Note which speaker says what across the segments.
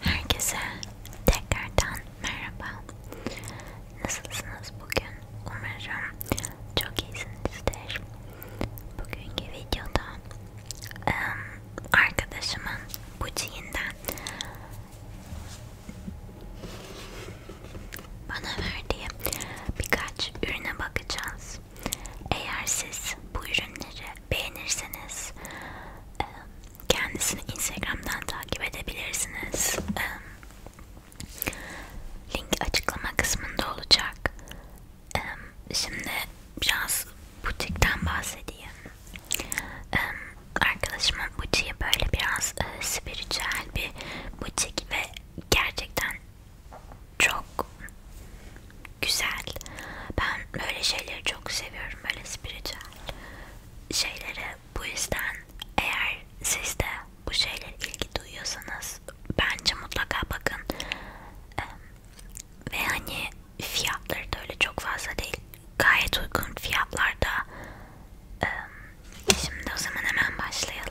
Speaker 1: Herkese tekrardan merhaba. Nasılsınız bugün? Umarım çok iyisinizdir. Bugünkü videoda ım, arkadaşımın bu cihinden bana verdiği birkaç ürüne bakacağız. Eğer siz bu ürünleri beğenirseniz kendisini Instagram'dan takip edebilirsiniz. Link açıklama kısmında olacak. Şimdi biraz butikten bahsedeyim. Arkadaşımın butiği böyle biraz spiritüel bir butik ve gerçekten çok güzel. Ben böyle şeyleri çok seviyorum. Böyle spiritüel şeyleri. Bu yüzden eğer siz de bu şeylere ilgi duyuyorsanız bence mutlaka bakın. Ve hani fiyatları da öyle çok fazla değil. Gayet uygun fiyatlarda. Şimdi o zaman hemen başlayalım.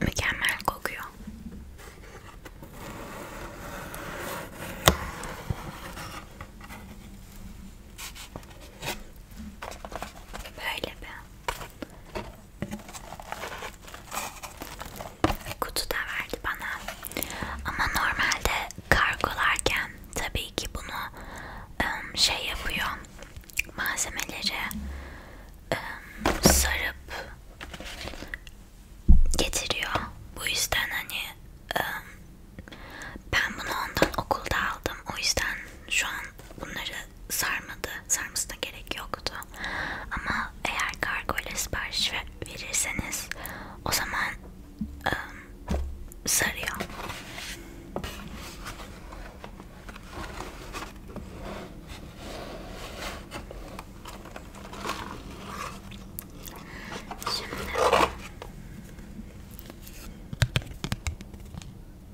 Speaker 1: Mükemmel kokuyor. Böyle be. Kutu da verdi bana. Ama normalde kargolarken tabii ki bunu şey yapıyor. Malzemeleri sarıp getiriyor. Bu yüzden hani ben bunu ondan okulda aldım. O yüzden şu an bunları sarmadı. Sarmasına gerek yoktu. Ama eğer kargo ile sipariş verirseniz o zaman ıı, sarıyor. Şimdi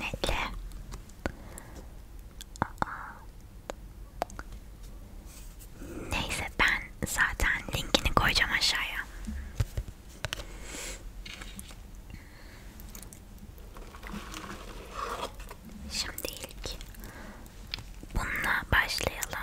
Speaker 1: Netle. Aa. Neyse ben zaten linkini koyacağım aşağıya. Şimdi ilk Bununla başlayalım.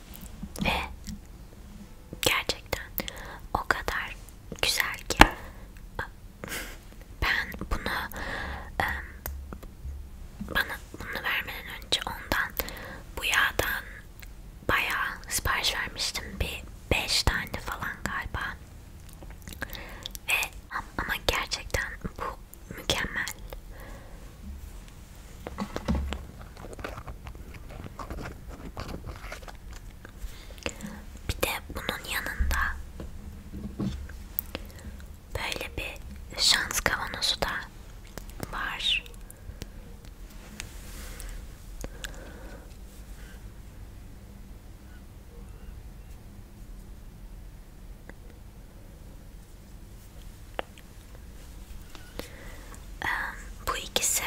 Speaker 1: Ve gerçekten o kadar güzel ki ben bunu bana bunu vermeden önce ondan bu yağdan bayağı sipariş vermiştim bir 5 tane falan galiba ve ama gerçekten bu mükemmel bir de bunun yanında böyle bir şans kavanozu da var. Bu ikisi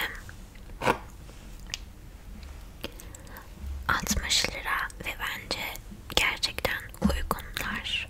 Speaker 1: 60 lira ve bence gerçekten uygunlar.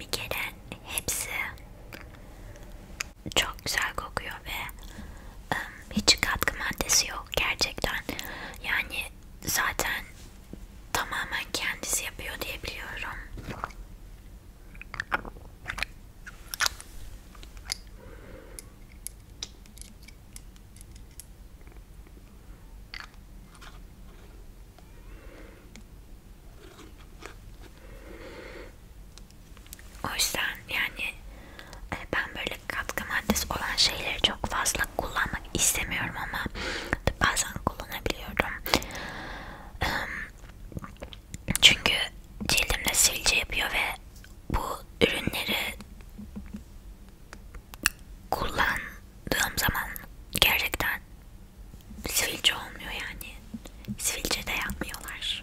Speaker 1: Bir kere hepsi çok güzel kokuyor ve ıı, hiç katkı maddesi yok gerçekten. Yani zaten tamamen kendisi yapıyor diye biliyorum. O yüzden yani e, ben böyle katkı maddesi olan şeyleri çok fazla da kullanmak istemiyorum ama bazen kullanabiliyorum. Ehm, çünkü cildimde sivilce yapıyor ve bu ürünleri kullandığım zaman gerçekten sivilce olmuyor yani. Sivilce de yapmıyorlar.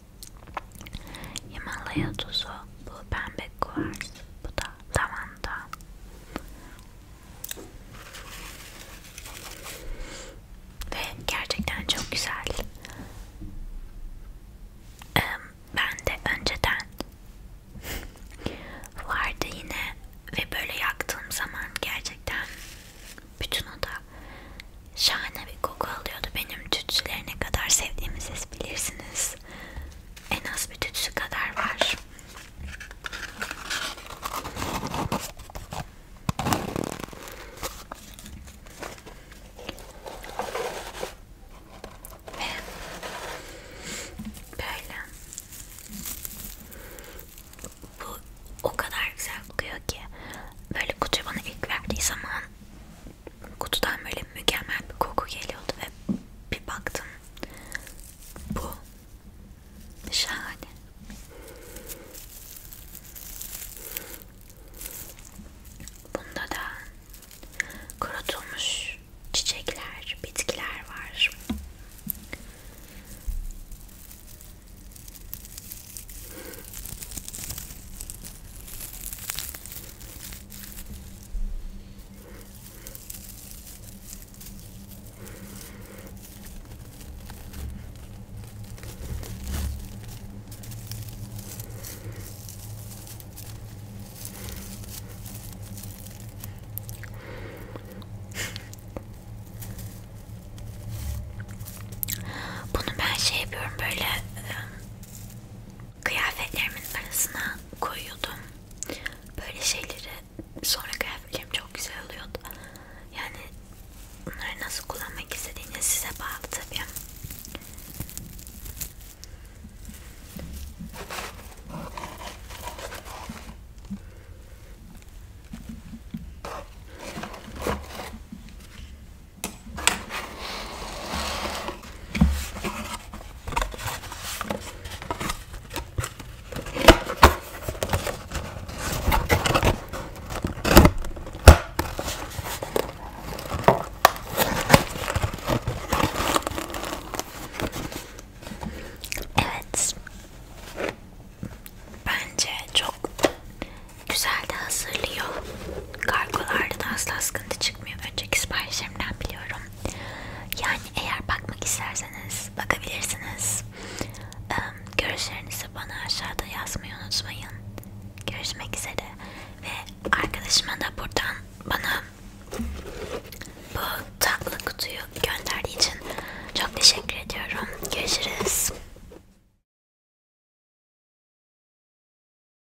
Speaker 1: Himalaya tuzu, bu pembe kuvars, bu da lavanta. Ve gerçekten çok güzel. Ben de önceden vardı yine ve böyle yaktığım zaman gerçekten bütün oda şahane güzel bir koku alıyordu. Benim tütsüleri ne kadar sevdiğimi siz bilirsiniz. En az bir tütsü kadar var. Ve böyle bu o kadar güzel kokuyor ki böyle kutuyu bana ilk verdiği zaman kutudan böyle mükemmel bir koku geliyordu ve bir baktım bu şahane bunda da kurutulmuş çiçekler bitkiler var bunu ben şey yapıyorum böyle kıyafetlerimin arasına koyuyordum. Böyle şeyleri sonra kıyafetlerim çok güzel oluyordu. Yani bunları nasıl kullanmak istediğiniz size bağlı tabii. Evet. Bence çok güzel de hazırlıyor. Kargolarda da asla sıkıntı çıkmıyor. Önceki siparişlerimden biliyorum. Yani eğer bakmak isterseniz bakabilirsiniz. Ee, görüşlerinizi bana aşağıda yazmayı unutmayın. Görüşmek üzere ve arkadaşıma da buradan bana bu tatlı kutuyu gönderdiği için çok teşekkür ediyorum. Görüşürüz.